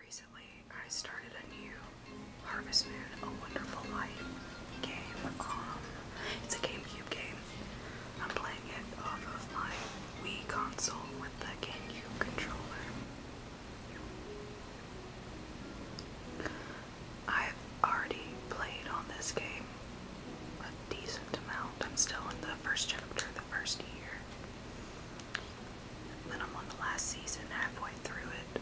Recently, I started a new Harvest Moon, A Wonderful Life game. Um, it's a GameCube game. I'm playing it off of my Wii console with the GameCube controller. I've already played on this game a decent amount. I'm still in the first chapter, the first year. Then I'm on the last season, halfway through it.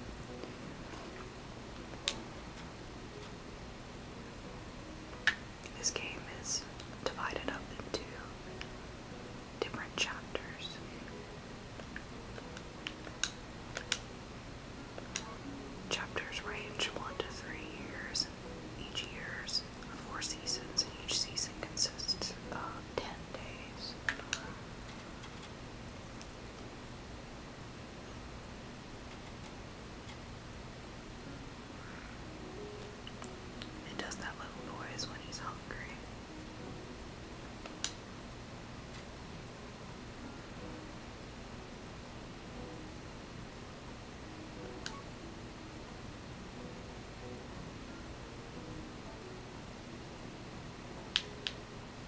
This game is divided up into different chapters. Chapters range one to three years, each year's four seasons, and each season consists of ten it does that little noise when he's hungry.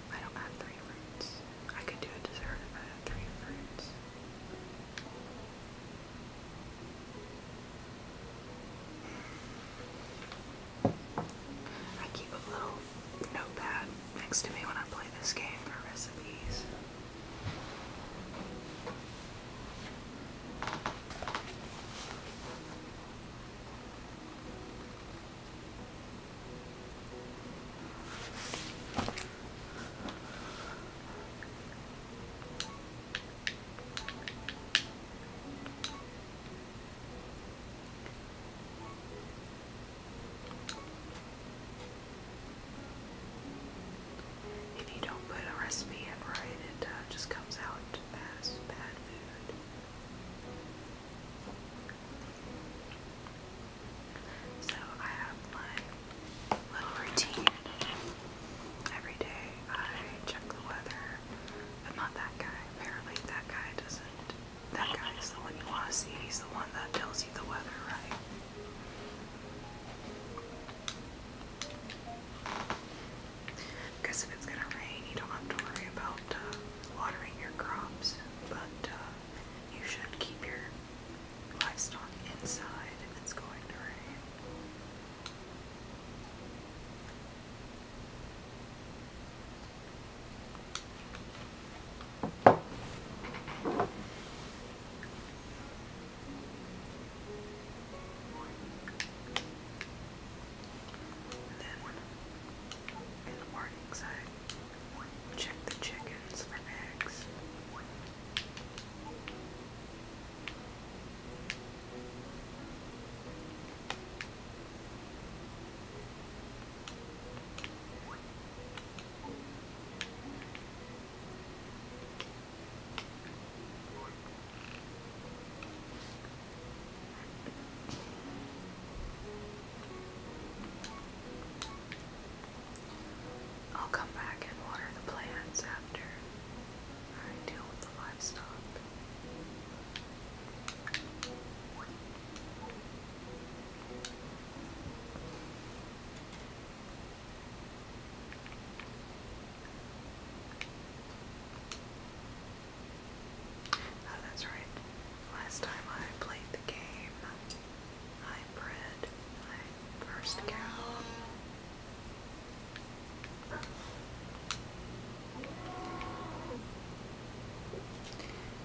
I don't have three fruits. I could do a dessert if I had three fruits. I keep a little notepad next to me when I play this game for recipes. If you don't put a recipe in right, it uh, just comes out as bad food. So I have my little routine. Every day I check the weather. I'm not that guy. Apparently that guy doesn't. That guy is the one you want to see. He's the one that tells you the weather, right? Because if it's gonna rain, you don't have to worry about uh, watering your crops, but uh, you should keep your livestock inside if it's going to rain then in the mornings I check the chickens for eggs. I'll come back and water the plants after I deal with the livestock. Oh, that's right. Last time I played the game, I bred my first cow.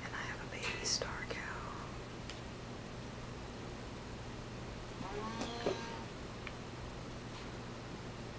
And I have a baby star cow.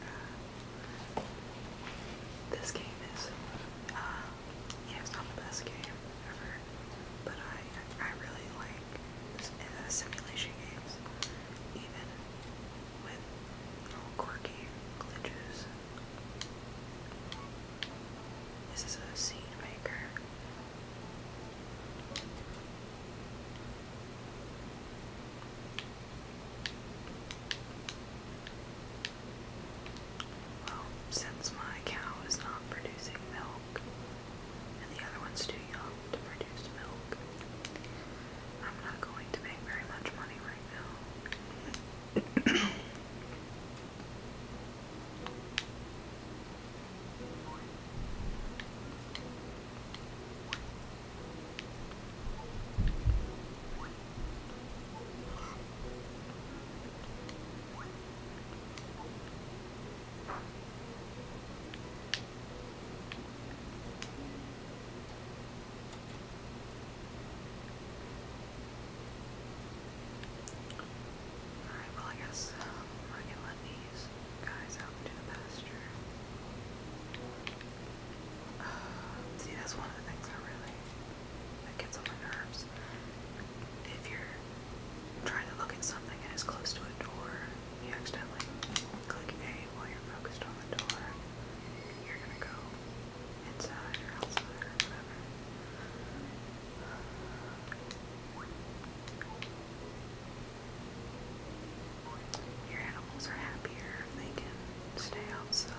Uh, this game is, uh, yeah, it's not the best game ever, but I, I really like uh, simulation games, even with little quirky glitches. This is a seed maker. Well, since my cow is not producing milk, and the other one's too young to produce milk, I'm not going to make very much money right now. Alright, well I guess I um, can let me these guys out into the pasture. Uh, see, that's one of the things I really that gets on my nerves. If you're trying to look at something and it's close to a door, you accidentally click A while you're focused on the door. You're gonna go inside or outside or whatever. Uh, your animals are happier if they can stay outside.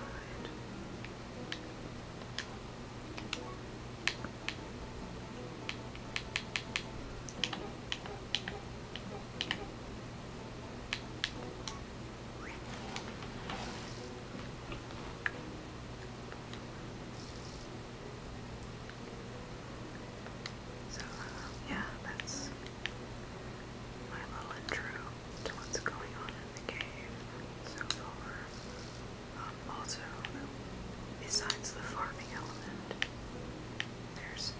So, yeah, that's my little intro to what's going on in the cave so um, also, besides the farming element, there's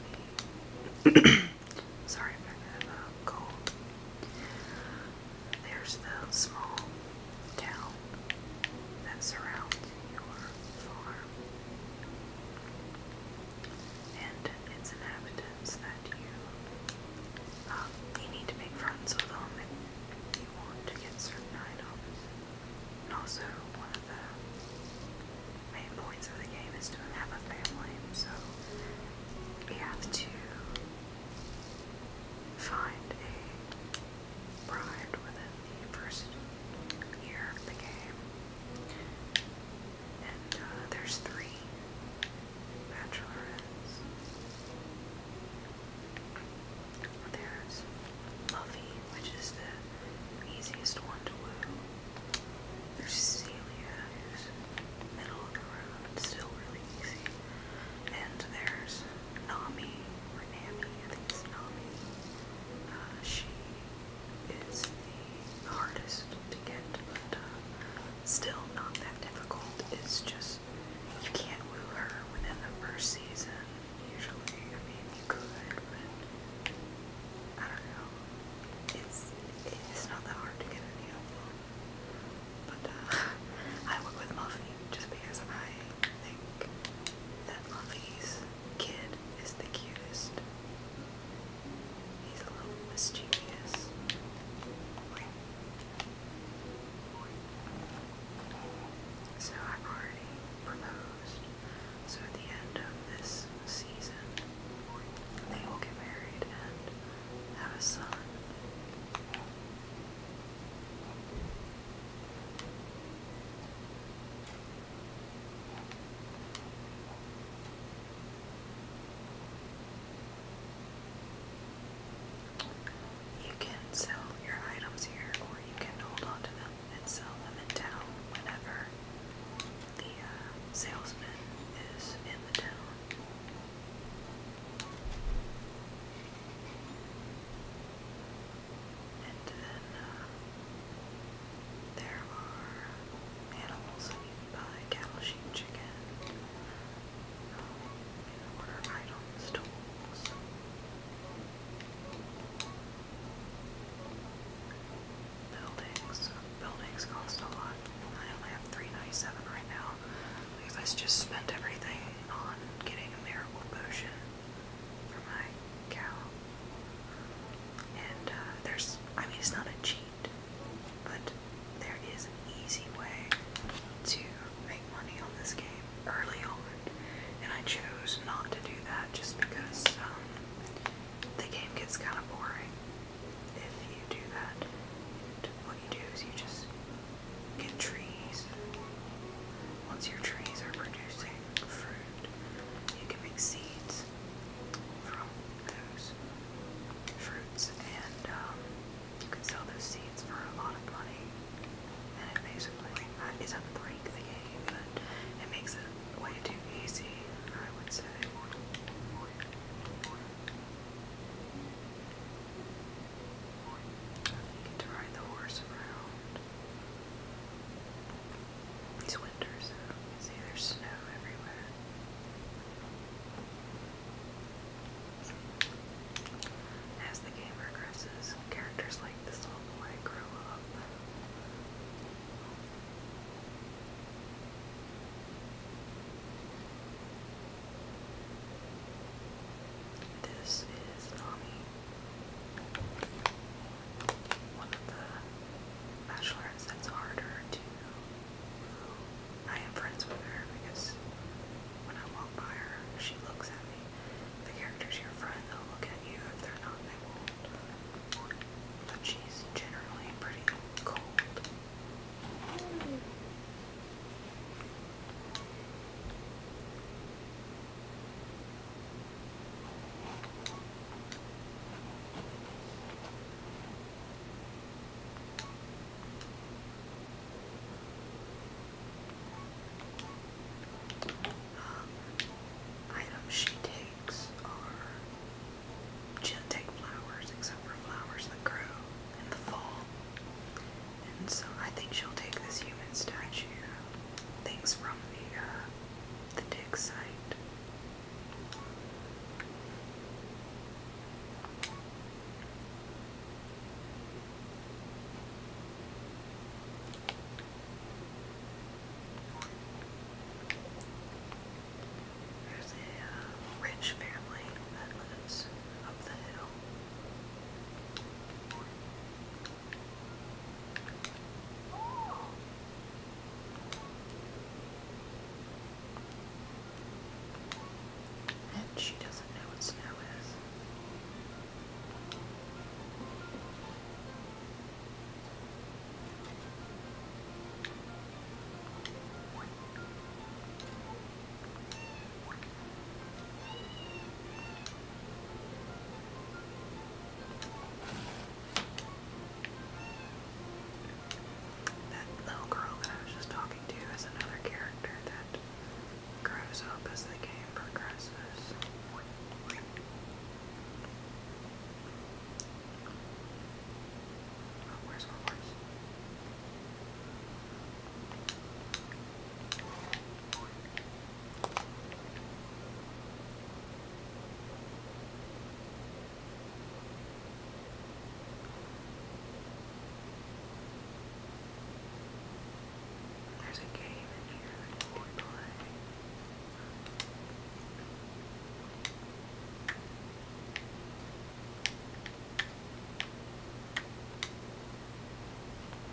me. sorry if I cold. There's the small town that surrounds your farm and its inhabitants that you uh, you need to make friends with them if you want to get certain items. And also, one of the main points of the game is to have a family, so you have to find a bride within the first year of the game. And uh, there's three bachelorettes. There's Luffy, which is the easiest one to woo. There's Celia, middle of the road, still really easy. And there's Nami, or Nami, I think it's Nami. Uh, she is the hardest to get, uh, still not that difficult. It's just you can't woo her within the first season. Usually, I mean, you could, but I don't know. It's it's not that hard to get any of them. But uh, I work with Muffy just because I think that Muffy's kid is the cutest. He's a little mischievous. So I've already proposed. So at the end of this season, they will get married and have a son. You can sell your items here or you can hold on to them and sell them in town whenever the uh, salesman is in the town. And then uh, there are animals that you can buy, cattle, sheep, chicken, you um, know, order items, tools. Buildings. Buildings cost a lot. I only have 397 right now I just spent everything on getting a miracle potion for my cow. And uh, there's, I mean, it's not a cheat, but there is an easy way to make money on this game early on. And I chose not to do that just because um, the game gets kind of boring if you do that. And what you do is you just get trees. Once your trees are producing fruit, you can make seeds nutrients from those fruits, and um, you can sell those seeds for a lot of money. And it basically is a break the game, but it makes it way too easy, I would say. You get to ride the horse around. It's winter, so you see there's snow everywhere. As the game progresses, characters like this little boy grow up. This is Nami, one of the bachelorettes, that's harder to. I am friends with her because when I walk by her, she looks at me. The characters your friend, they'll look at you. If they're not, they won't. But she's generally pretty cold. Um, items she takes she does take flowers except for flowers that grow in the fall. And so I think she'll take this human statue, things from the uh, dig site, there's a uh, rich family that lives up the hill. And she doesn't know what snow is. That little girl that I was just talking to is another character that grows up as the game progresses. Oh, where's there's a game in here that you can play.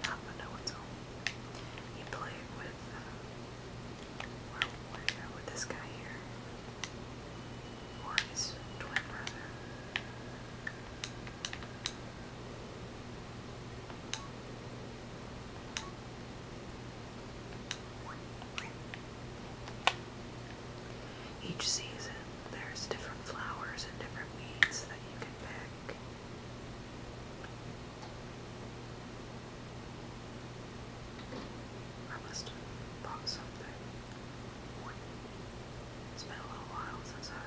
Not Manoa's own. You play it with well, twin brother? Each season, there's different flowers and different weeds that you can pick. I must have bought something. It's been a little while since I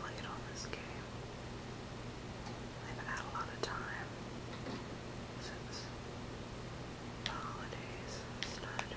played on this game. I've had a lot of time since the holidays started.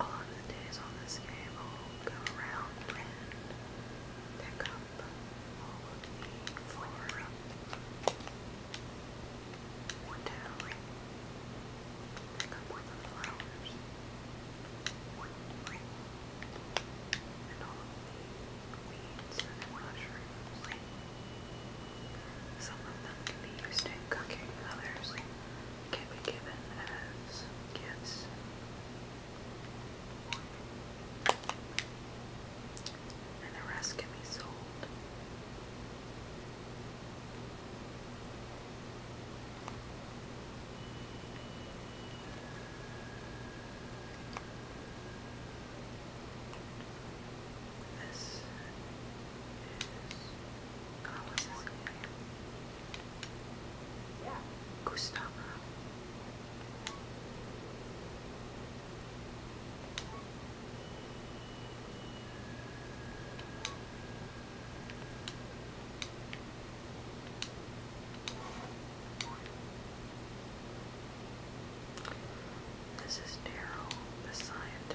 a of the days on this game I'll around and pick up all of the flora one and mushrooms some of them can be used in cooking, others can be given as gifts. And the rest can be sold. This is, Gustavo. This is Daryl, the scientist.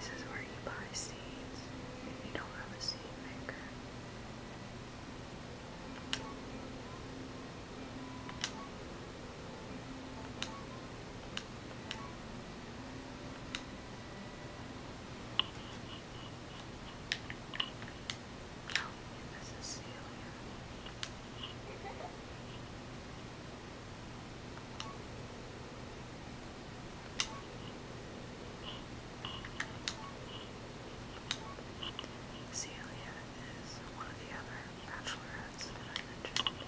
This is where you buy seeds if you don't have a seed maker this is Celia is one of the other bachelorettes that I mentioned.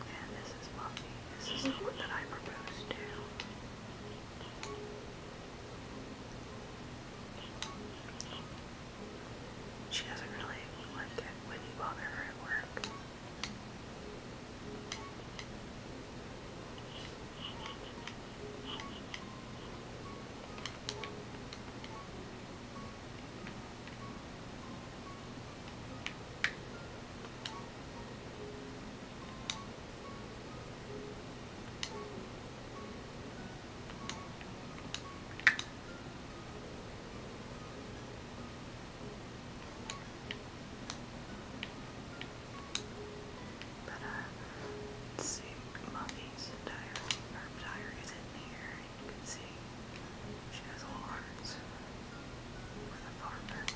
And this is Muffy. This is the one I proposed to. She doesn't really like it when you bother her at work. But uh, let's see, Muffy's diary, her diary is in here, you can see she has little hearts with a farmer.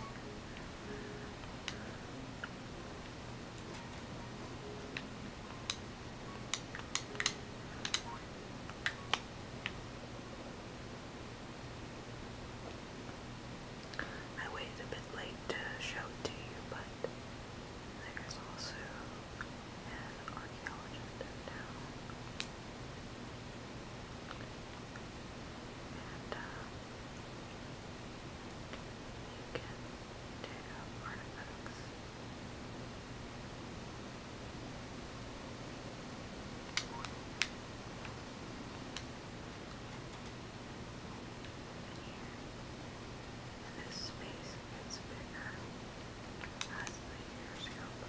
I waited a bit late to show it to you, but there's also an archaeologist in and uh, you can dig up And here, space gets bigger as the years go by.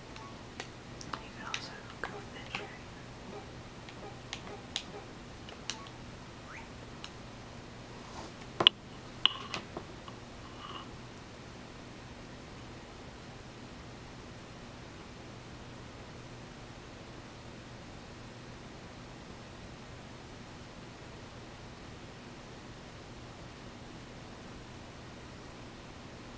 You can also go with that cherry. Okay.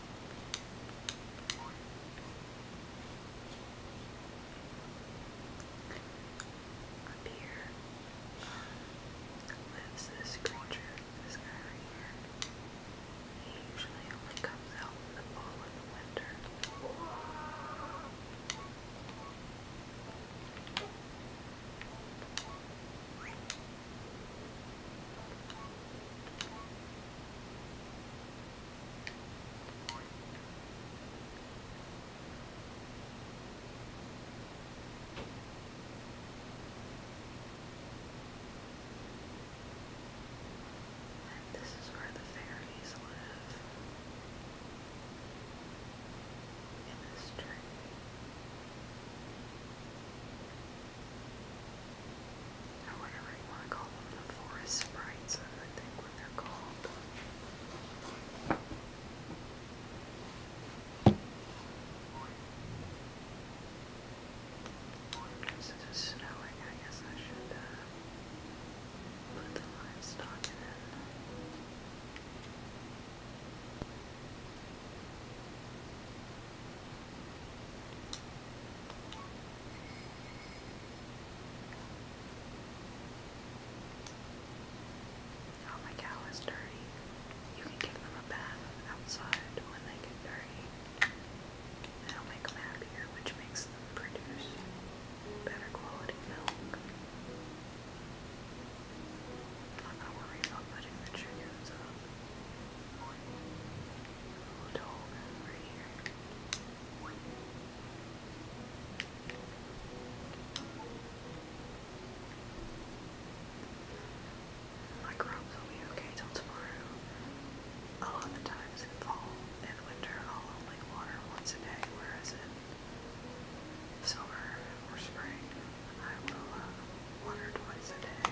Up here lives this creature, this guy here. He usually only comes out in the fall and the winter. And this is where the fairies live. In this tree or whatever you want call them, the forest sprites, I think what they're called. Since it's snowing, I guess I should uh, put the livestock in. It Oh, my cow is dirty. You can give them a bath outside when they get dirty. That'll make them happier, which makes them produce better quality milk. I'm not worried about putting the chickens up. dog over here. My crops will be okay till tomorrow. A lot of times in fall and winter I'll only water once a day, whereas in summer or spring I will uh, water twice a day.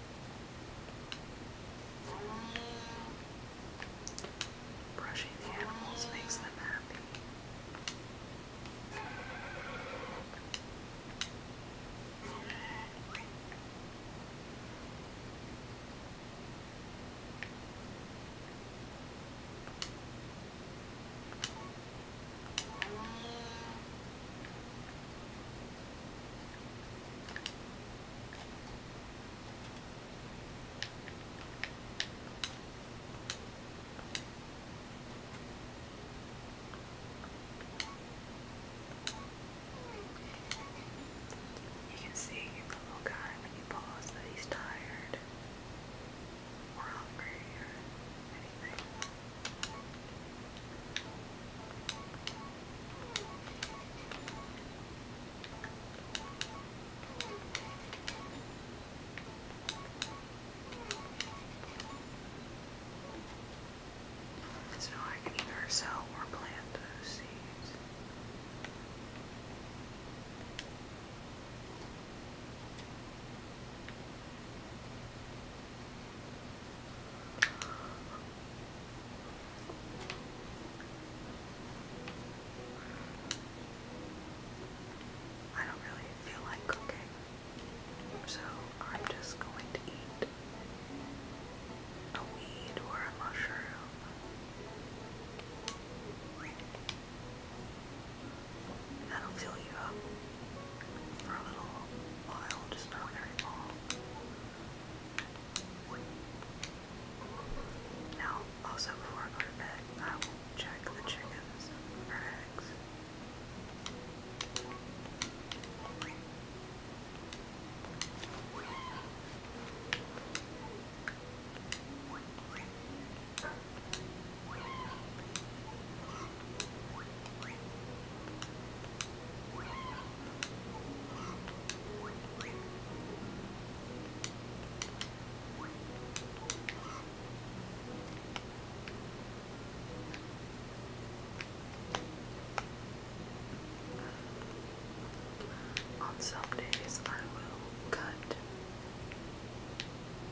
Brushing the animals makes them happy. You can see the little guy when you pause that he's tired or hungry so I can either sell or plant those seeds. I don't really feel like cooking, so I'm just going to eat a weed or a mushroom. That'll fill you up for a little while, just not very long. Now, also before I go to bed, I will check the chickens eggs. On some days, I will cut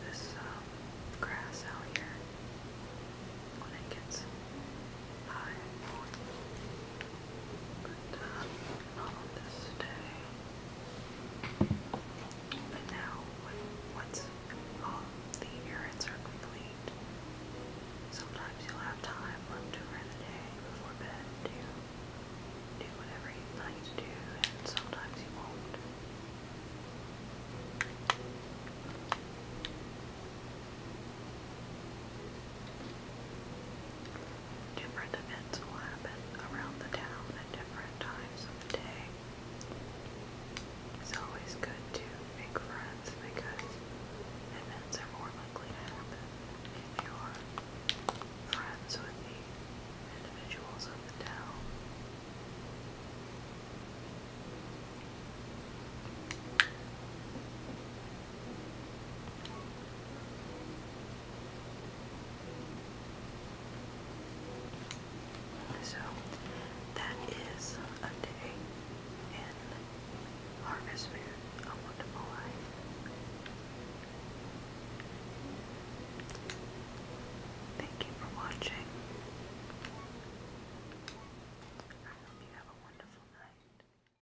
this um, grass out here when it gets high. But not on this day. But now, when, once all the errands are complete, sometimes you'll have time left over in the day before bed to do whatever you'd like to do, and sometimes you won't. Different events will happen around the town at different times of the day. It's always good to make friends because events are more likely to happen if you are friends with the individuals of the town. So that is a day in Harvest a wonderful life. Thank you for watching. I hope you have a wonderful night.